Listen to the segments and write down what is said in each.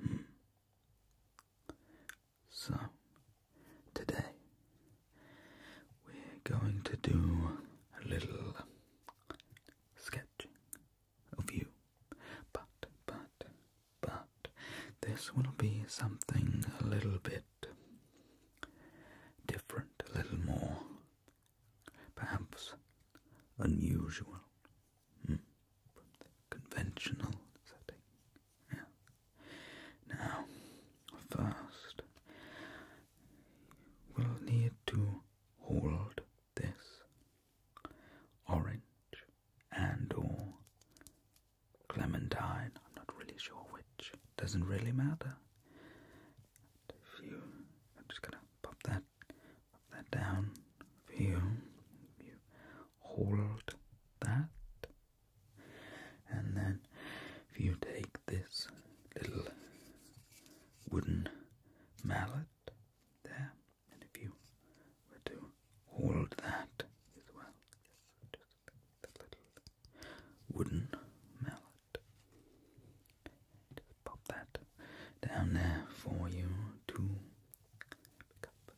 Hmm. So, today we're going to do a little sketching of you. But, but, but, this will be something a little bit different, a little more, perhaps unusual. Hmm. Conventional setting. Now, first, we'll need to hold this orange and or clementine. I'm not really sure which. Doesn't really matter. If you, I'm just gonna pop that that down for you. hold that, and then if you take this little wooden mallet there, and if you were to hold that as well, just the little wooden mallet pop that down there for you to pick up.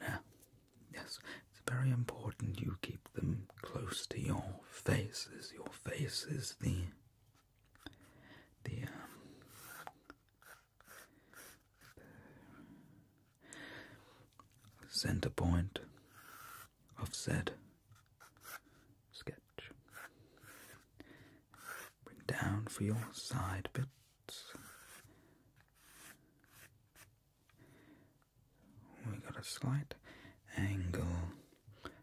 Now, yes, it's very important you keep them close to your faces. Your faces, the the um, center point of said Bring down for your side bits. We got a slight angle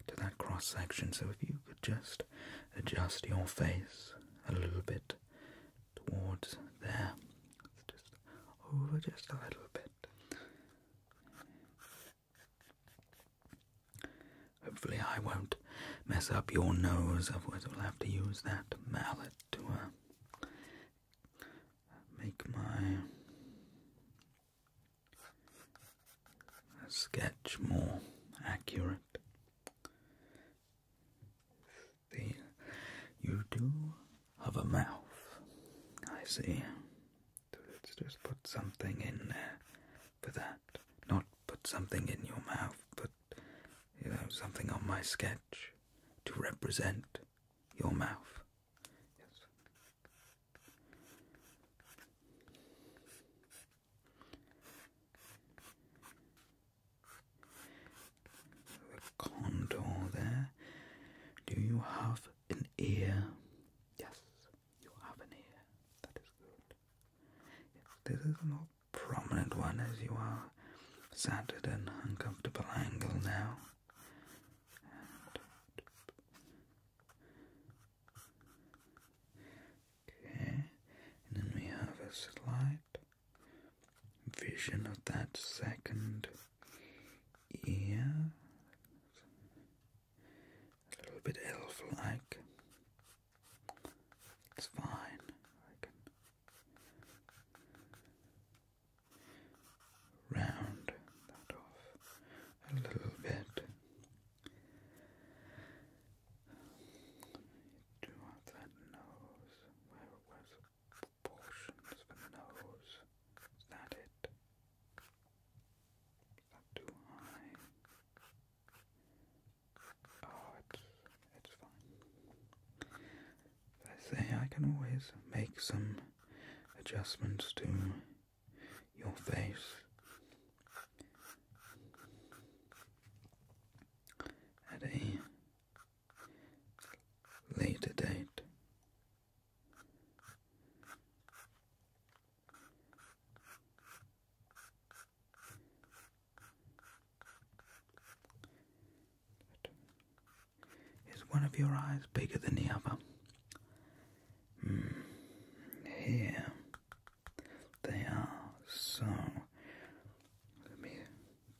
to that cross section, so if you could just adjust your face a little bit towards there, just over just a little bit. Hopefully, I won't mess up your nose, otherwise, I'll have to use that mallet to uh, make my sketch more accurate. The, you do have a mouth, I see. let's just put something in there for that. Not put something in your mouth, put, you know, something on my sketch to represent your mouth. Yes. The there. Do you have an ear? Yes, you have an ear. That is good this is a more prominent one as you are sat at an uncomfortable angle now. okay, and then we have a slight vision of that second ear. A little bit elf like. It's fine. round that off a little bit. do that nose where it was proportions for the nose. Is that it? Is that too high? I say, I can always make some adjustments to your face. At a later date, is one of your eyes bigger than the other? Hmm. Here they are. So let me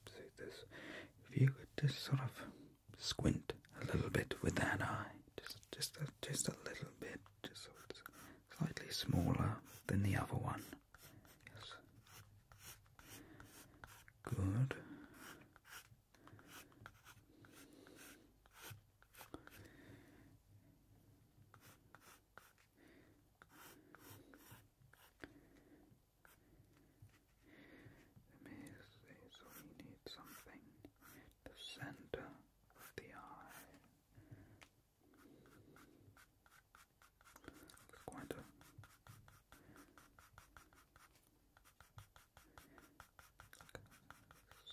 see this. If you could just sort of squint a little bit with that eye, just just a, just a little bit, just sort of slightly smaller than the other one. Yes. Good. so we need something the center of the eye. Quarto.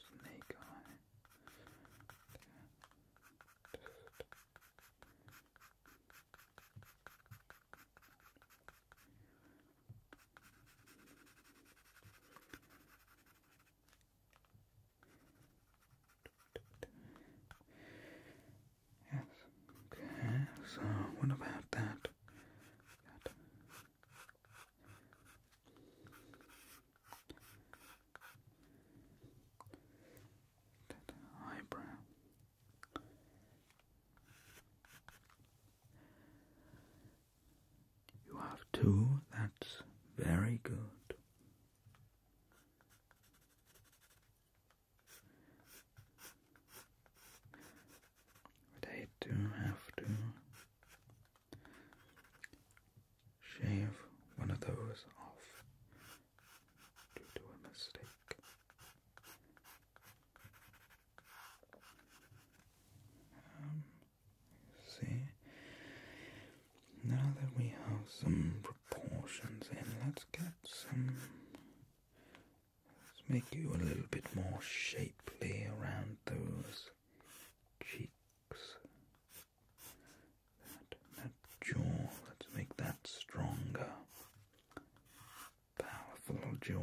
Snake on it. Yes. Okay, so what about that? eyebrow. You have two, that's very good. But I do have to shave one of those off due to a mistake. Um, See? Now that we have some proportions in, let's get some. Let's make you a little bit more shapely around those cheeks. that jaw, let's make that stronger. Powerful jaw.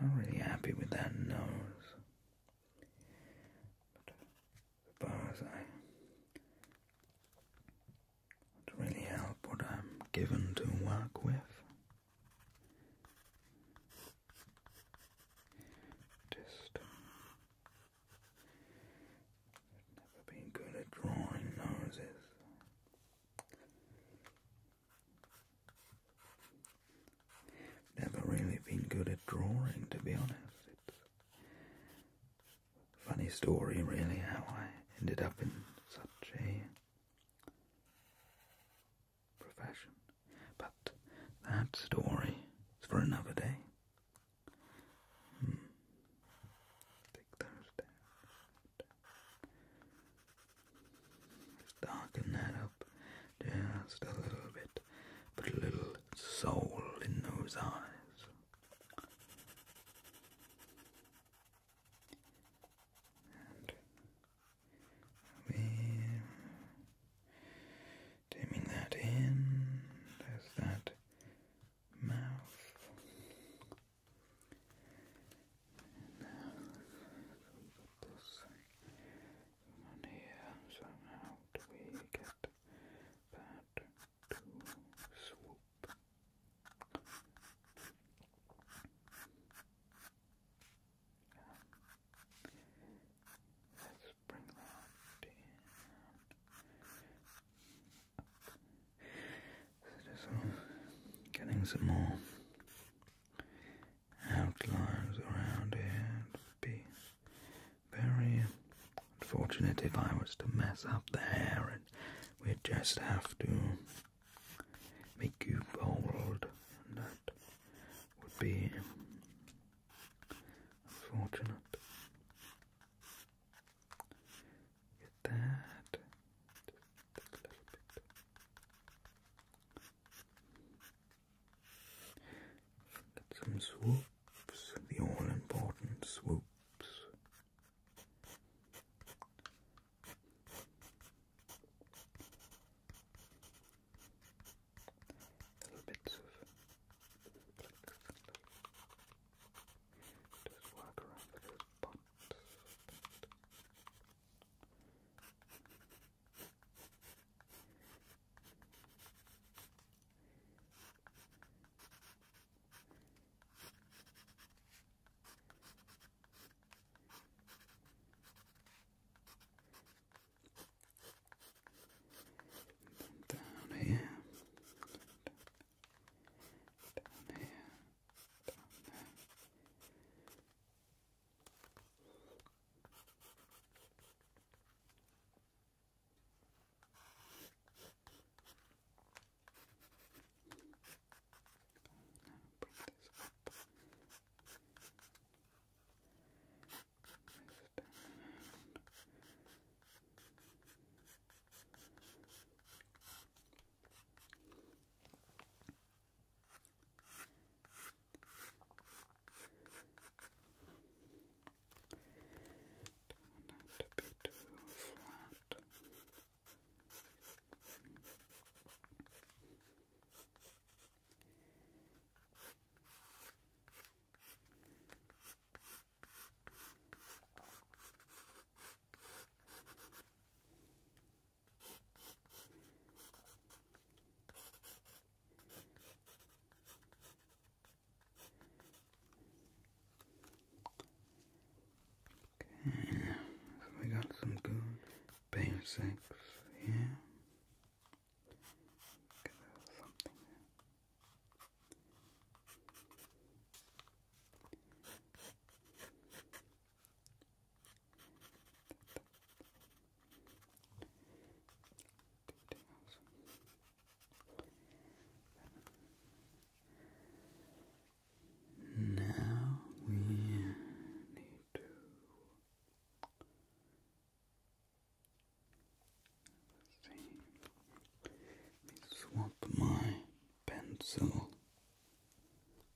Not really happy with that nose. the bars I would really help what I'm given to work with. Just uh, never been good at drawing noses. Never really been good at drawing, to be honest. It's a funny story, really, how I ended up in such a profession. But that story is for another day. Hmm. Take those down. Just darken that up just a little bit. Put a little soul in those eyes. And dimming that in. There's that mouth. And now, here. So do we get that to swoop? Let's bring that in. just getting some more outlines around It would be very unfortunate if I was to mess up there, and we'd just have to make you bold, and that would be unfortunate. Get that. Get some swoops, the all important swoops. Little bits of just work around the spots. Down here. Down here down there. Now bring this up. This down. Don't want it to be too flat. Okay. Okay, so we got some good basics here. Get something now we need to see. Let me swap my pencil.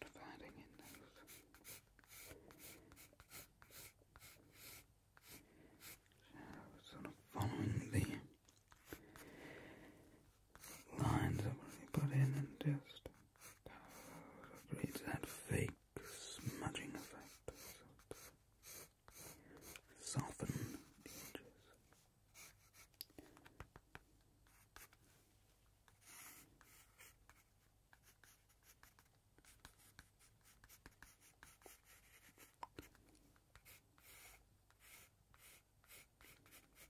dividing in those shadows, sort of following the lines that we put in and just creates that fake smudging effect. Soften the edges.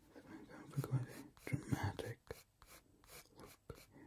It's going down for quite dramatic look here.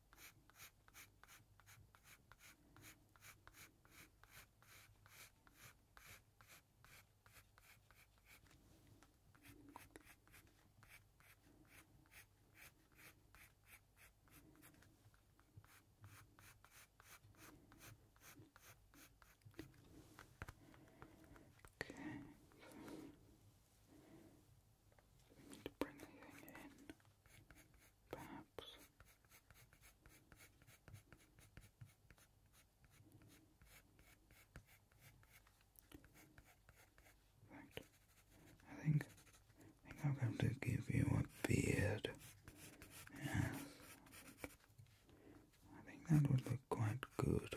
Okay. We need to bring everything in perhaps. Right. I think I think I'm going to give you a beard. Yes. I think that would look quite good.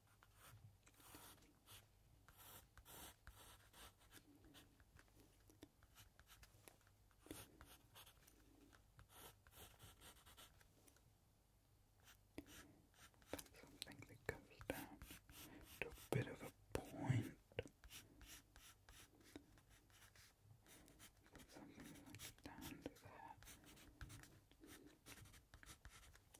That's something that a bit of a point. something like down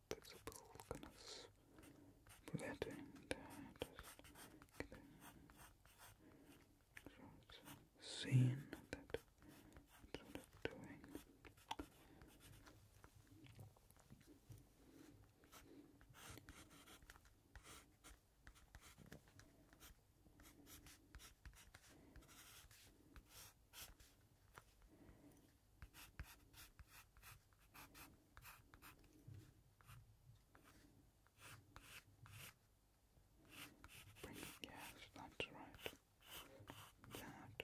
flexible goodness for that and uh, just get the sort of scene that it's sort of doing. Bring, yes, that's right. That.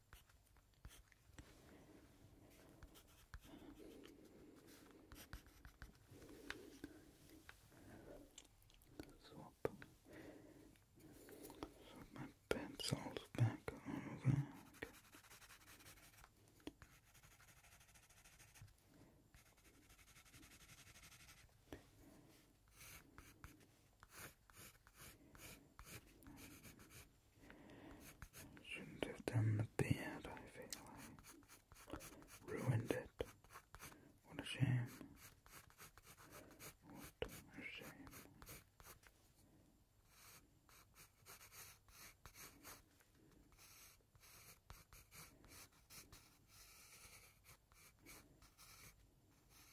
Swap, swap my pencils back over. Shouldn't have done the beard, I feel like. Ruined it. What a shame. What a shame. Right.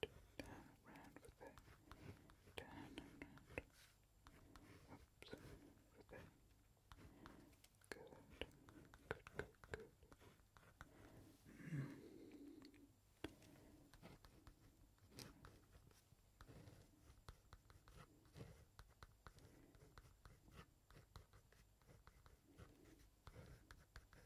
Turn around with it. Turn around. Oops. With it. Good. Good, good, good. Mm. Good.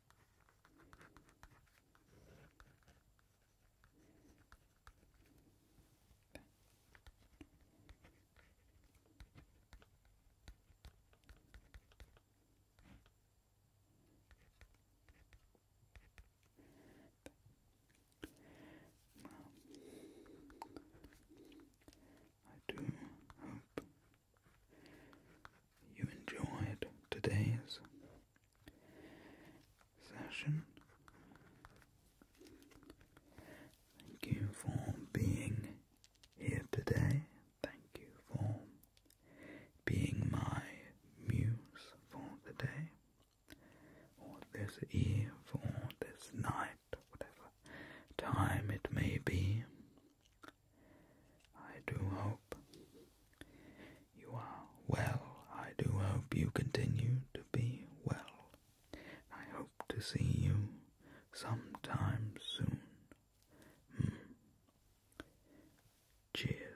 Well, I do hope you enjoyed today's session. Thank you for being here today. Thank you for being my muse for the day, or this eve, or this night, whatever time it may be. I do hope you are well. I do hope you continue to be well. I hope to see you sometime soon. Hmm. Cheers.